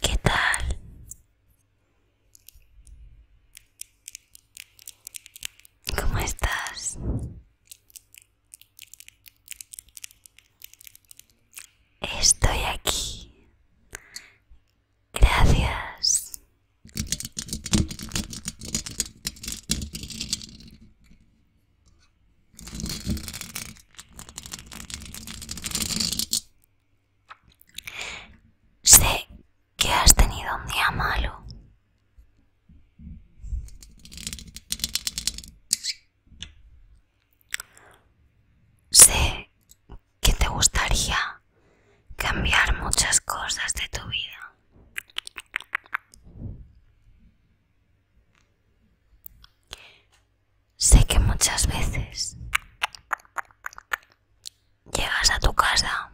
¿Qué tal? ¿Cómo estás? Estoy aquí. Gracias. Sé que has tenido un día malo. Sé que te gustaría cambiar muchas cosas de tu vida. Sé que muchas veces llegas a tu casa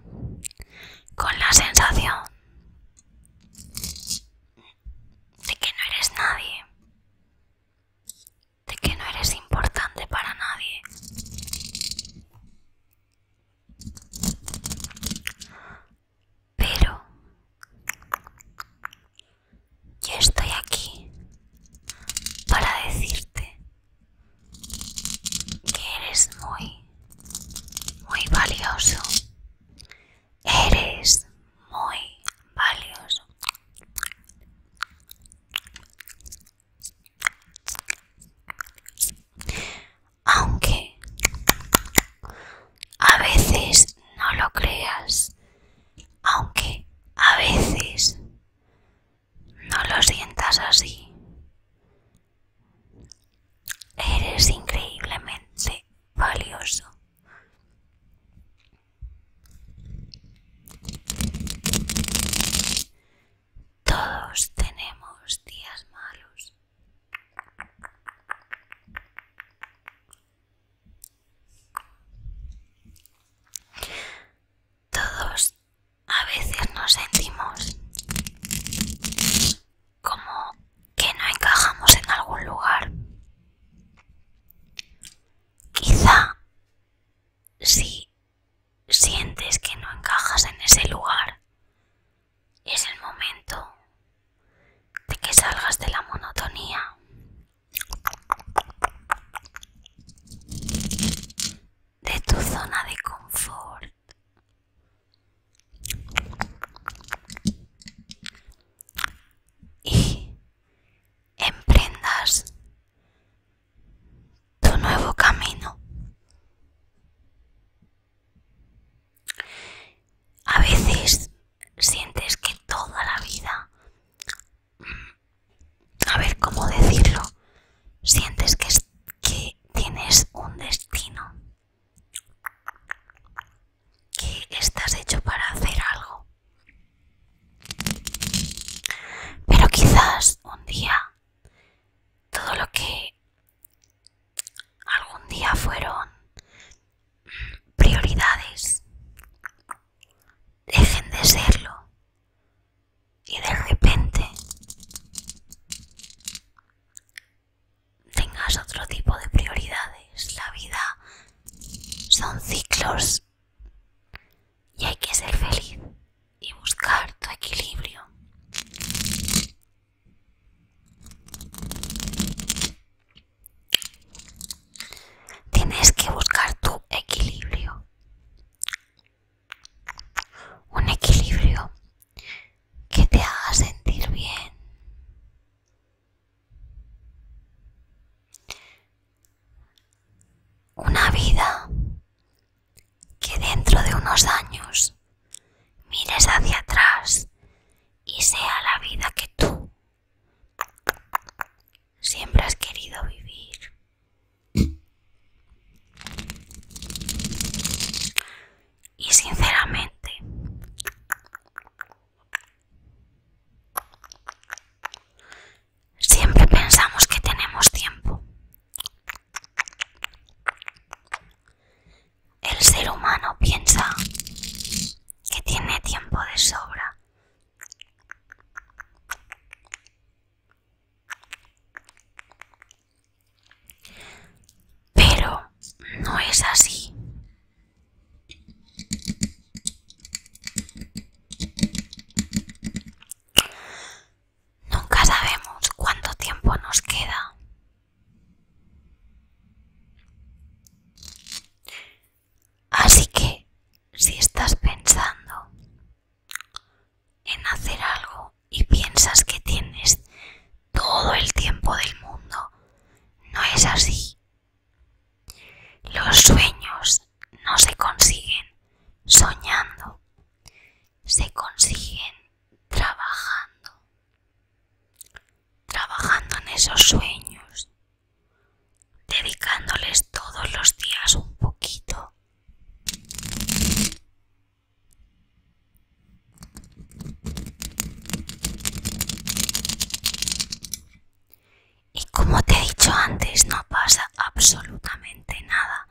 con la sensación de que no eres nadie, de que no eres importante para nadie. Pero yo estoy aquí para decirte que eres muy, muy valioso. Eres muy valioso. Aunque a veces no lo creas, aunque a veces no lo sientas así. Eres increíblemente valioso. Todos tenemos días malos. Todos a veces nos sentimos como que no encajamos en algún lugar. Quizá si sientes que no encajas en ese lugar, es el momento de que salgas de la monotonía de tu zona de confort. Y emprendas tu nuevo camino. A veces sientes que toda la vida a ver cómo decirlo, sientes que, que tienes un destino, que estás hecho para hacer algo. Pero quizás un día todo lo que algún día fueron prioridades dejen de serlo. Y de repente tengas otro tipo de prioridades. La vida son ciclos y hay que ser feliz y buscar tu equilibrio. Tienes que buscar tu equilibrio. Un equilibrio que te haga sentir bien. Una vida que dentro de unos años mires hacia atrás y sea la vida que tú Siempre has querido vivir. Y sinceramente, siempre pensamos que tenemos tiempo. El ser humano piensa que tiene tiempo de sobra pero no es así. Nunca sabemos cuánto tiempo nos queda. Así que, si estás pensando en hacer algo y piensas que tienes todo el tiempo del mundo, no es así. Los sueños no se consiguen soñando, se consiguen trabajando, trabajando en esos sueños, dedicándoles todos los días un poquito. Y como te he dicho antes, no pasa absolutamente nada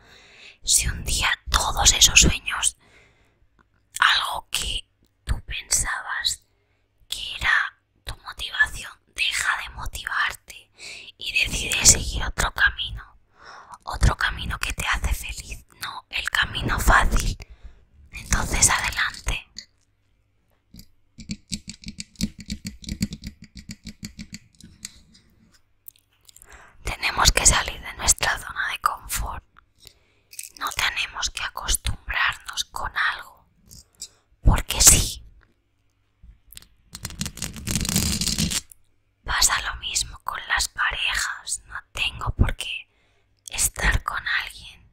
si un día todos esos sueños, algo que tú pensabas que era tu motivación deja de motivarte y decide seguir otro camino, otro camino que te hace feliz, no el camino fácil. Entonces adelante. Tenemos que salir de nuestra zona de confort. No tenemos que acostumbrarnos con algo. Porque sí, Pasa lo mismo con las parejas, no tengo por qué estar con alguien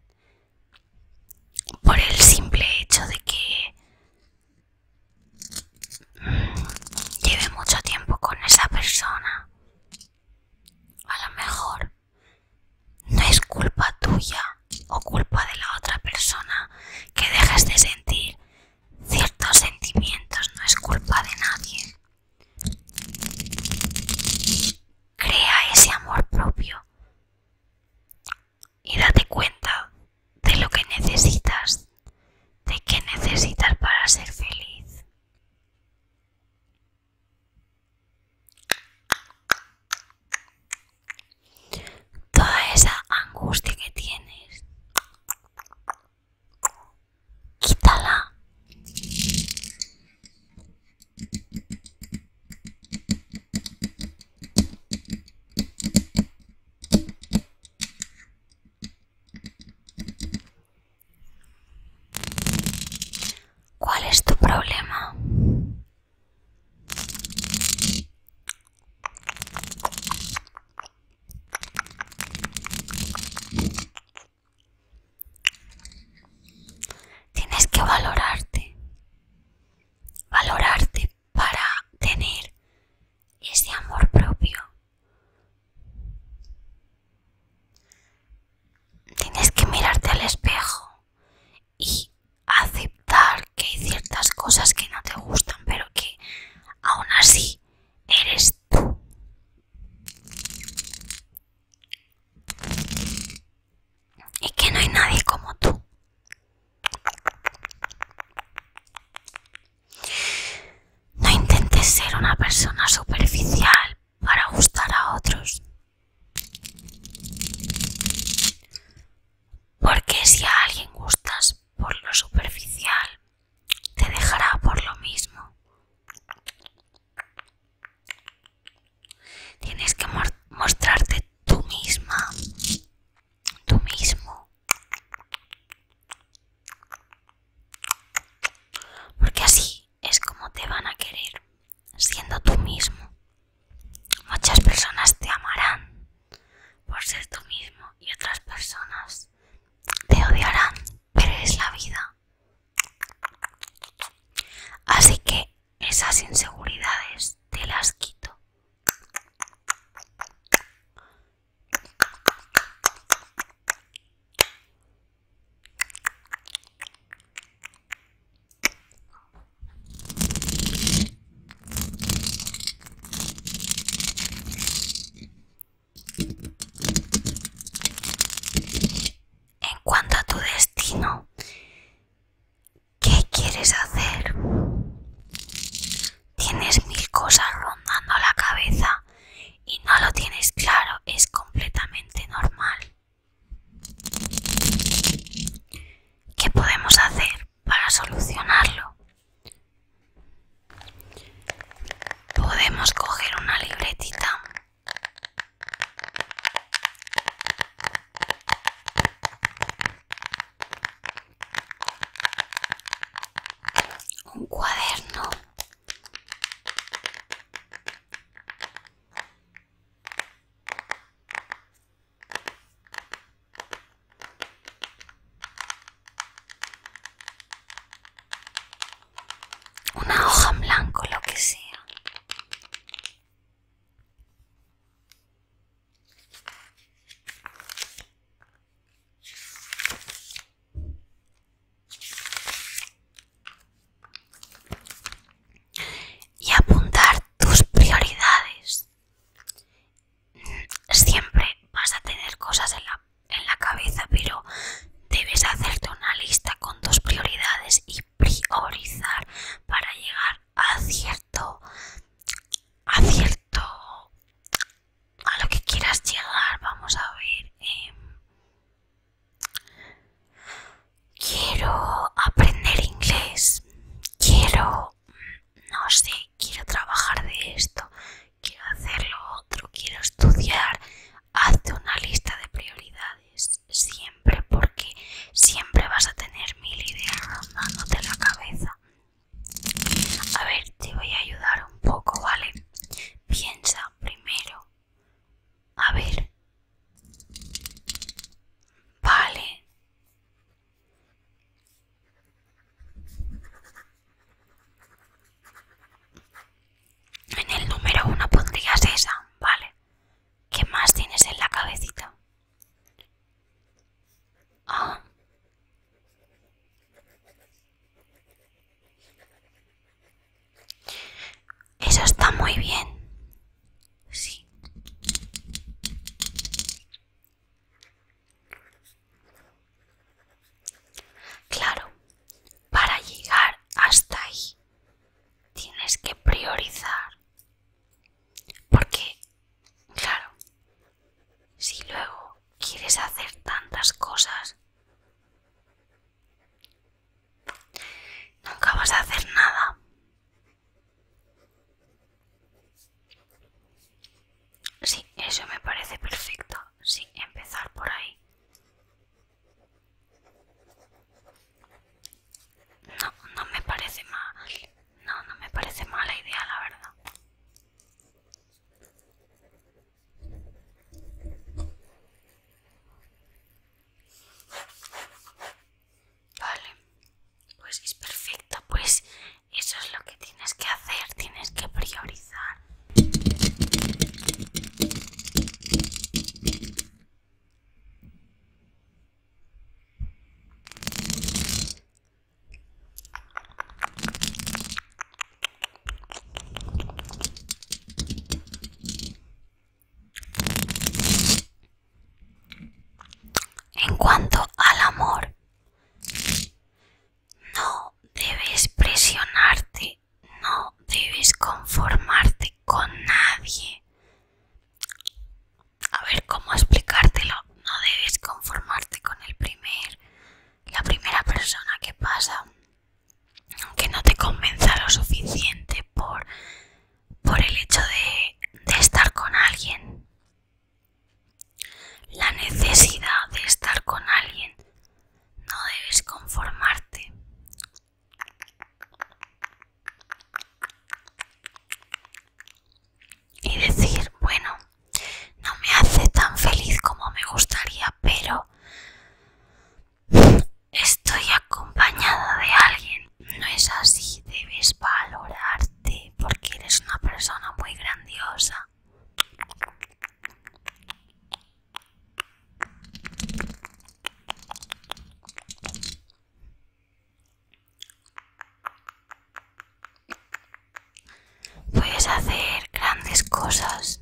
por el simple hecho de que lleve mucho tiempo con esa persona. A lo mejor no es culpa tuya o culpa de la otra persona que dejes de sentir ciertos sentimientos, no es culpa de nadie. Crea ese amor propio y date cuenta de lo que necesitas, de que necesitas para ser feliz. Toda esa angustia que tienes, quítala. ¿Cuál es tu problema? Tienes que valorarte, valorarte para tener ese amor propio. Tienes que mirarte al espejo y aceptar que hay ciertas cosas que no te gustan, pero que aún así eres tú. Y que no hay nadie como tú. No intentes ser una persona superficial para gustar a otros. Porque si a alguien gustas, por lo superficial, te dejará por lo mismo. Tienes que mostrarte tú misma, tú mismo. Porque así es como te van a querer, siendo tú mismo. Muchas personas te amarán por ser tú mismo y otras personas te odiarán, pero es la vida. Así que esas inseguridades te las quito. En cuanto a tu destino, ¿qué quieres hacer? Tienes mil cosas rondando la cabeza y no lo tienes claro, es completamente normal. ¿Qué podemos hacer? para solucionarlo? Podemos coger una libretita un cuaderno una hoja en blanco, lo que sea. Y apuntar tus prioridades Siempre vas a tener cosas en la, en la cabeza, pero debes hacerte una lista con dos prioridades y priorizar para llegar a cierto, a cierto, a lo que quieras llegar. Vamos a ver. Em, quiero aprender inglés. Quiero no sé, quiero trabajar de esto, quiero hacer lo otro, quiero estudiar, hazte una lista de prioridades siempre porque siempre vas a tener mil ideas rondándote la cabeza. A ver, te voy a ayudar un poco, ¿vale? Piensa primero. A ver. Vale. En el número uno pondrías esa, ¿vale? ¿Qué más tienes en la cabecita? Ah. Eso está muy bien. Sí. Claro, para llegar hasta ahí tienes que priorizar. Porque, claro, si luego quieres hacer tantas cosas, nunca vas a hacer nada. Sí, eso me parece perfecto. Sí, empezar por ahí. No, no me parece mal. No, no me parece mala idea, la verdad. Vale, pues es perfecta, pues eso es lo que tienes que hacer, tienes que priorizar. En cuanto al amor, no debes presionarte, no debes conformarte con nadie. A ver cómo explicártelo. No debes conformarte con el primer, la primera persona que pasa, que no te convenza lo suficiente por, por el hecho de estar con alguien. La necesidad de estar con alguien no debes conformarte. Y decir, bueno, no me hace tan feliz como me gustaría, pero estoy acompañada de alguien. No es así, debes valorarte porque eres una persona muy grandiosa. Puedes hacer grandes cosas.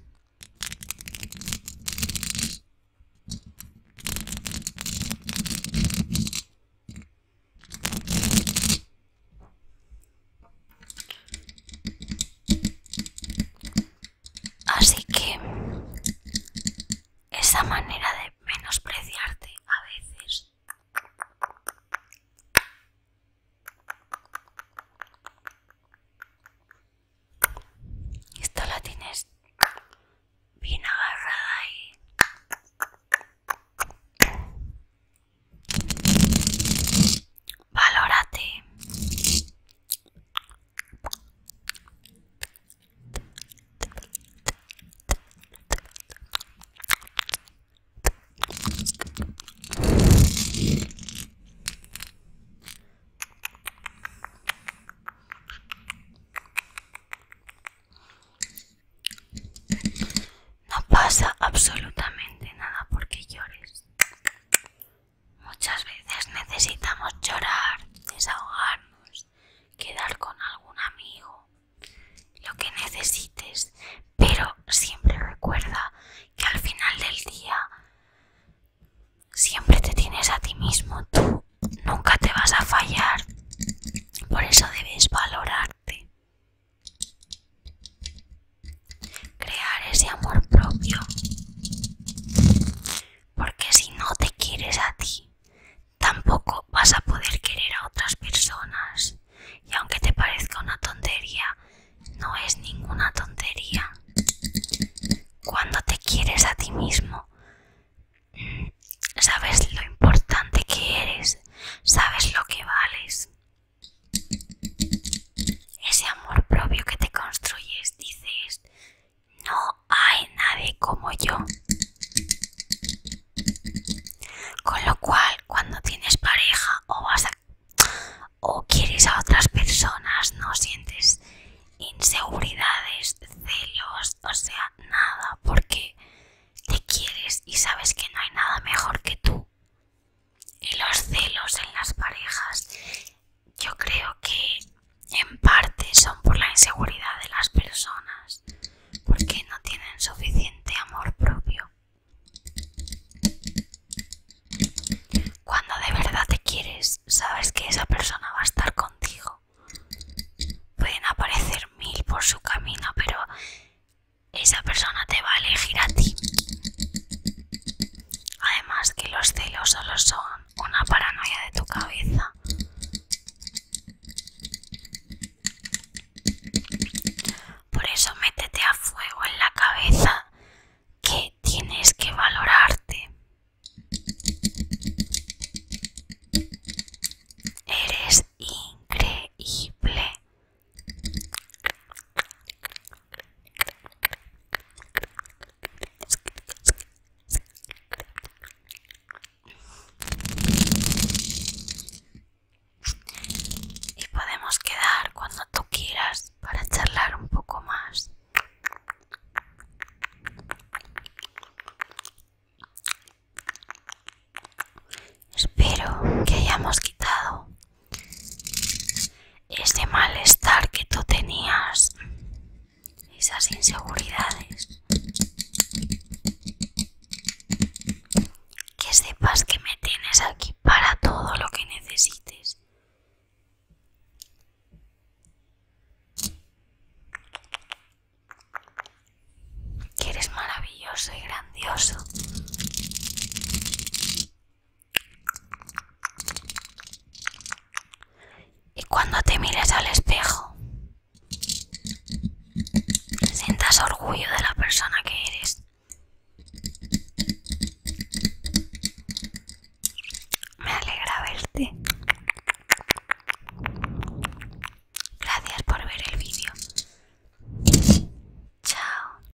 Así que esa manera de menospreciarte a veces esto la tienes bien agarrada y Valórate. No pasa absolutamente nada porque llores. Muchas veces necesitamos llorar, desahogarnos, quedar con algún amigo, lo que necesites, pero siempre recuerda que al final del día siempre te tienes a ti mismo, tú nunca te vas a fallar, por eso debes valorarte. Crear ese amor propio. Porque si no te quieres a ti, tampoco vas a poder querer a otras personas. Y aunque te parezca una tontería, no es ninguna tontería. Cuando te quieres a ti mismo, mm, sabes lo importante que eres, sabes lo que vales ese amor propio que te construyes, dices, no hay nadie como yo. Con lo cual, cuando tienes pareja o vas o quieres a otras personas, no sientes inseguridades, celos, o sea, nada, porque te quieres y sabes que no hay nada mejor que tú y los celos en las parejas yo creo que en parte son por la inseguridad de las personas porque no tienen suficiente amor propio cuando de verdad te quieres sabes que esa persona va a estar contigo pueden aparecer mil por su camino pero esa persona te va a elegir a ti. Además que los celos solo son una paranoia de tu cabeza. Por eso métete a fuego en la cabeza que tienes que valorarte. Eres increíble. Y podemos quedar cuando tú quieras para charlar un poco más. Espero que hayamos quitado ese malestar que tú tenías, esas inseguridades. Que sepas que me tienes aquí para todo lo que necesites. Que eres maravilloso y grandioso. Y cuando te mires al espejo, sientas orgullo de la persona que eres. Me alegra verte. Gracias por ver el vídeo. Chao,